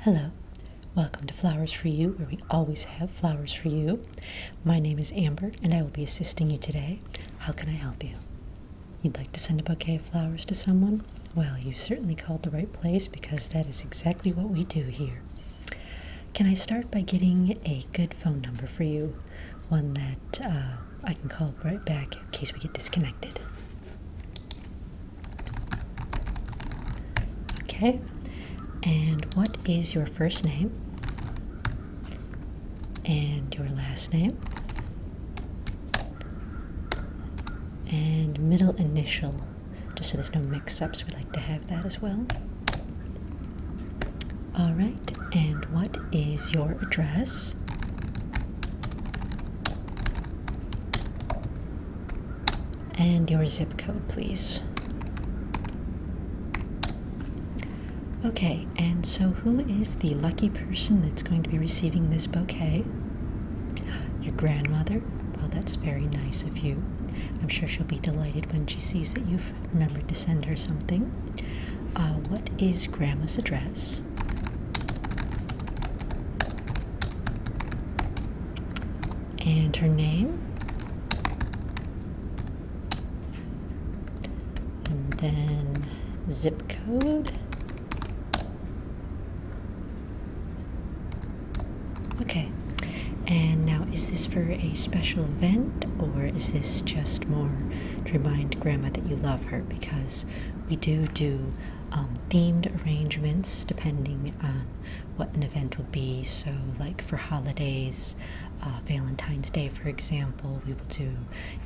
Hello, welcome to Flowers for You, where we always have flowers for you. My name is Amber, and I will be assisting you today. How can I help you? You'd like to send a bouquet of flowers to someone? Well, you certainly called the right place because that is exactly what we do here. Can I start by getting a good phone number for you? one that uh, I can call right back in case we get disconnected. Okay, and what is your first name? And your last name? And middle initial, just so there's no mix ups, we would like to have that as well. All right, and what is your address? And your zip code, please. Okay, and so who is the lucky person that's going to be receiving this bouquet? Your grandmother? Well, that's very nice of you. I'm sure she'll be delighted when she sees that you've wife. Remember to send her something. Uh, what is Grandma's address? And her name. And then zip code. Okay, and now, is this for a special event or is this just more to remind Grandma that you love her? Because we do do um, themed arrangements depending on what an event will be. So, like for holidays, uh, Valentine's Day, for example, we will do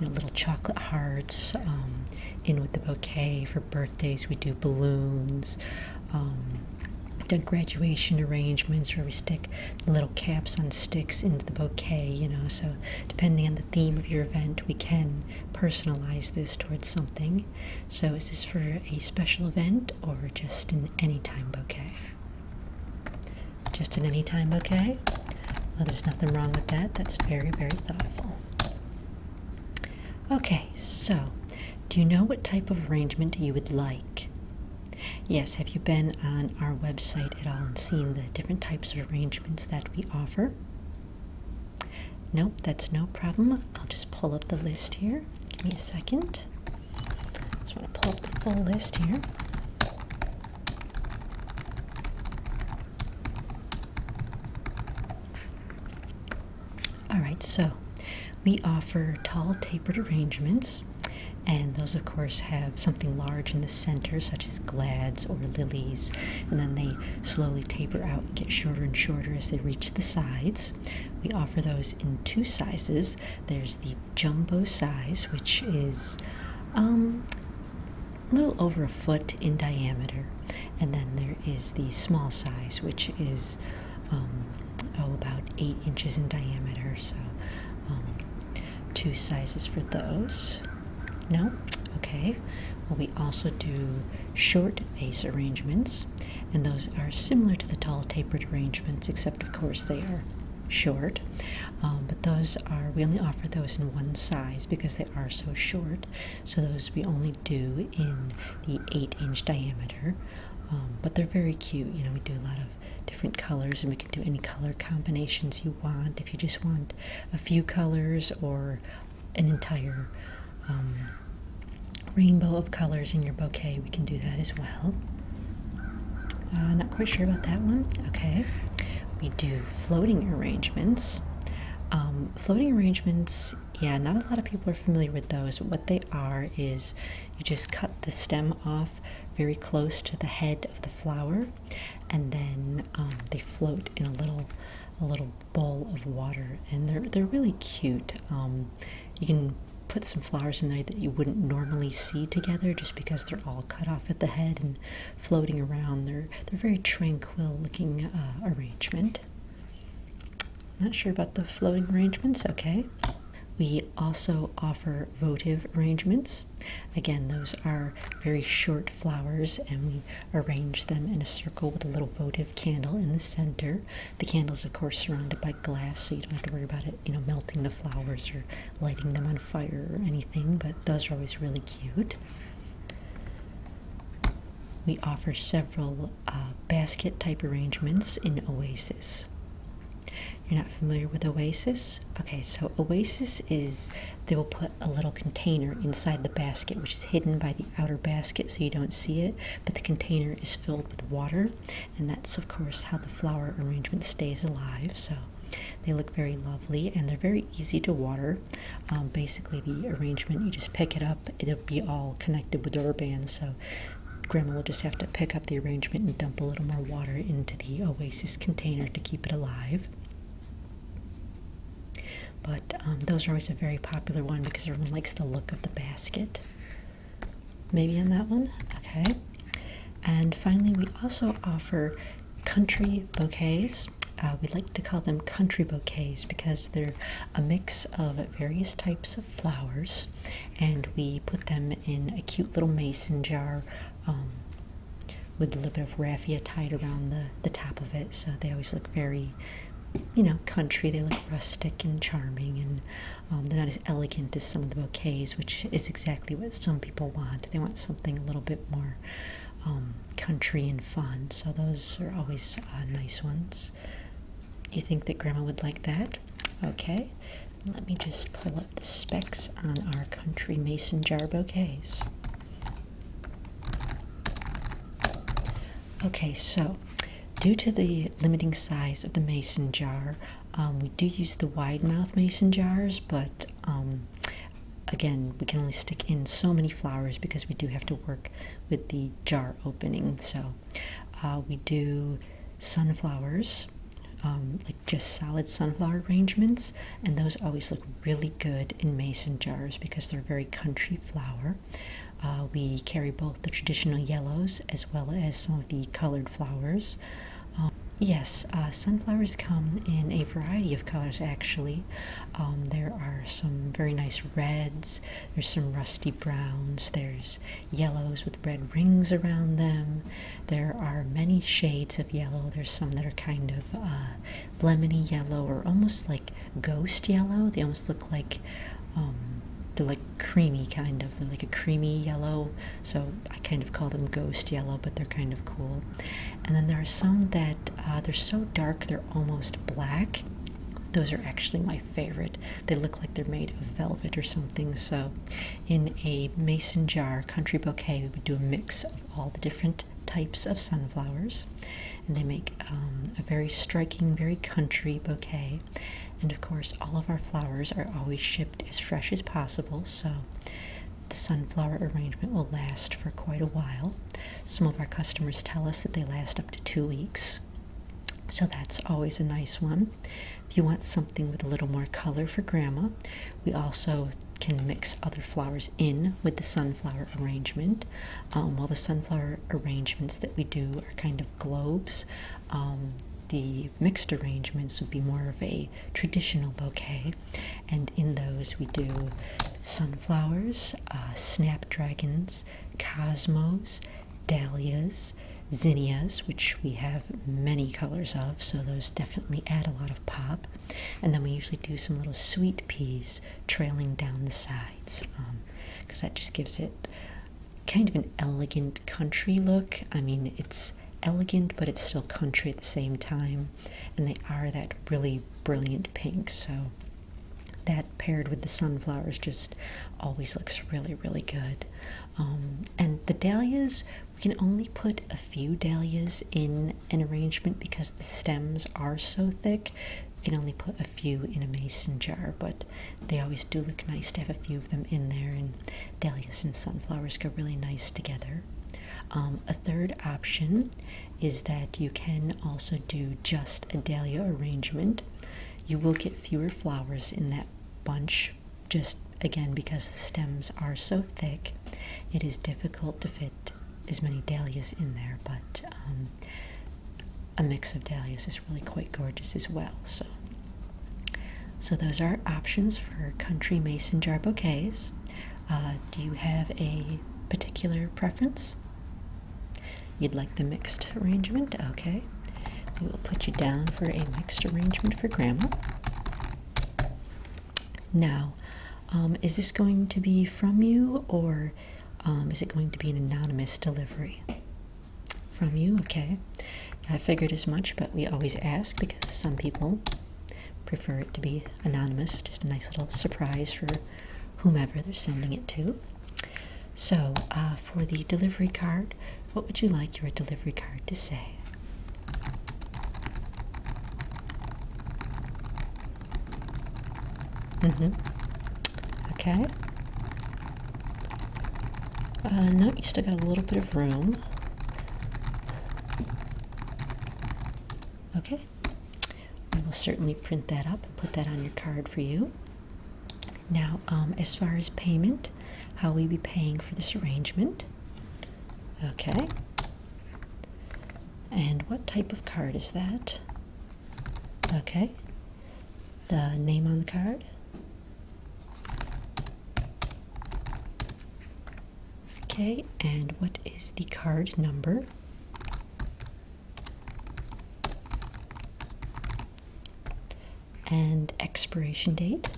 little chocolate hearts um, in with the bouquet. For birthdays, we do balloons. Um, the graduation arrangements where we stick little caps on sticks into the bouquet, you know. So, depending on the theme of your event, we can personalize this towards something. So, is this for a special event or just an anytime bouquet? Just an anytime bouquet? Well, there's nothing wrong with that. That's very, very thoughtful. Okay, so do you know what type of arrangement you would like? Yes, have you been on our website at all and seen the different types of arrangements that we offer? Nope, that's no problem. I'll just pull up the list here. Give me a second. Just want to pull up the full list here. All right, so we offer tall tapered arrangements, and those, of course, have something large in the center, such as glads or lilies, and then they slowly taper out and get shorter and shorter as they reach the sides. We offer those in two sizes there's the jumbo size, which is um, a little over a foot in diameter, and then there is the small size, which is um, oh, about eight inches in diameter. So, um, two sizes for those. No? Okay. Well, we also do short vase arrangements, and those are similar to the tall tapered arrangements, except, of course, they are short. Um, but those are, we only offer those in one size because they are so short. So those we only do in the eight inch diameter. but they're very cute. You know, we do a lot of different colors, and we can do any color combinations you want. If you just want a few colors or an entire um, rainbow of colors in your bouquet, we can do that as well. Uh, not quite sure about that one. Okay, we do floating arrangements. Um, floating arrangements, yeah, not a lot of people are familiar with those. What they are is you just cut the stem off very close to the head of the flower, and then um, they float in a little a little bowl of water, and they're they're really cute. Um, you can put some flowers in there that you wouldn't normally see together just because they're all cut off at the head and floating around. They're they're very tranquil looking uh, arrangement. Not sure about the floating arrangements, okay. We also offer votive arrangements. Again, those are very short flowers and we arrange them in a circle with a little votive candle in the center. The candle is of course surrounded by glass so you don't have to worry about it, you know, melting the flowers or lighting them on fire or anything, but those are always really cute. We offer several uh, basket type arrangements in Oasis. You're not familiar with Oasis? Okay, so Oasis is they will put a little container inside the basket, which is hidden by the outer basket so you don't see it, but the container is filled with water, and that's, of course, how the flower arrangement stays alive. So they look very lovely and they're very easy to water. Um, basically, the arrangement you just pick it up it'll be all connected with the urban, so Grandma will just have to pick up the arrangement and dump a little more water into the oasis container to keep it alive. But um, those are always a very popular one because everyone likes the look of the basket. Maybe on that one? Okay. And finally, we also offer country bouquets. Uh, we like to call them country bouquets because they're a mix of various types of flowers and we put them in a cute little mason jar um, with a little bit of raffia tied around the, the top of it. So they always look very, you know, country. They look rustic and charming and um, they're not as elegant as some of the bouquets, which is exactly what some people want. They want something a little bit more um, country and fun. So those are always uh, nice ones. You think that Grandma would like that? Okay, let me just pull up the specs on our country mason jar bouquets. Okay, so due to the limiting size of the mason jar, um, we do use the wide mouth mason jars, but um, again, we can only stick in so many flowers because we do have to work with the jar opening. So uh, we do sunflowers, um, like just solid sunflower arrangements, and those always look really good in mason jars because they're very country flower. Uh, we carry both the traditional yellows as well as some of the colored flowers. Um, yes, uh, sunflowers come in a variety of colors actually. Um, there are some very nice reds, there's some rusty browns, there's yellows with red rings around them. There are many shades of yellow. There's some that are kind of uh, lemony yellow or almost like ghost yellow. They almost look like um, they're like creamy kind of. They're like a creamy yellow. So I kind of call them ghost yellow, but they're kind of cool. And then there are some that uh, they're so dark they're almost black. Those are actually my favorite. They look like they're made of velvet or something. So, in a mason jar country bouquet, we would do a mix of all the different types of sunflowers, and they make um, a very striking, very country bouquet. And of course, all of our flowers are always shipped as fresh as possible, so the sunflower arrangement will last for quite a while. Some of our customers tell us that they last up to two weeks. So that's always a nice one. If you want something with a little more color for grandma, we also can mix other flowers in with the sunflower arrangement. Um, while the sunflower arrangements that we do are kind of globes, um, the mixed arrangements would be more of a traditional bouquet. And in those, we do sunflowers, uh, snapdragons, Cosmos, Dahlias, Zinnias, which we have many colors of, so those definitely add a lot of pop. And then we usually do some little sweet peas trailing down the sides because um, that just gives it kind of an elegant country look. I mean, it's elegant, but it's still country at the same time, and they are that really brilliant pink. So that paired with the sunflowers just always looks really really good um, and the dahlias we can only put a few dahlias in an arrangement because the stems are so thick we can only put a few in a mason jar but they always do look nice to have a few of them in there and dahlias and sunflowers go really nice together um, a third option is that you can also do just a dahlia arrangement. You will get fewer flowers in that bunch just again because the stems are so thick. It is difficult to fit as many dahlias in there, but um, a mix of dahlias is really quite gorgeous as well. So, so those are options for country mason jar bouquets. Uh, do you have a particular preference? You'd like the mixed arrangement? Okay. We will put you down for a mixed arrangement for Grandma. Now, um, is this going to be from you or um, is it going to be an anonymous delivery? From you, okay. I figured as much, but we always ask because some people prefer it to be anonymous, just a nice little surprise for whomever they're sending it to. So, uh, for the delivery card, what would you like your delivery card to say? Mm-hmm. Okay. Uh, no, you still got a little bit of room. Okay. I will certainly print that up and put that on your card for you. Now, um, as far as payment, how will we be paying for this arrangement? Okay. And what type of card is that? Okay. The name on the card? Okay, and what is the card number? and expiration date.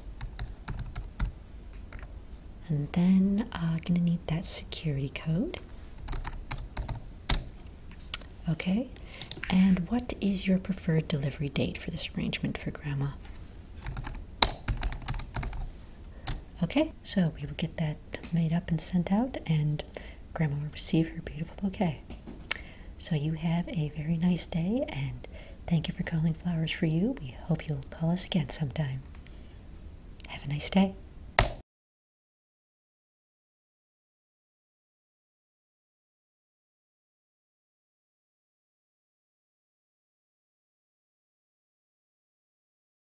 And then I'm uh, going to need that security code. Okay, and what is your preferred delivery date for this arrangement for Grandma? Okay, so we will get that made up and sent out, and Grandma will receive her beautiful bouquet. So you have a very nice day, and thank you for calling Flowers for You. We hope you'll call us again sometime. Have a nice day.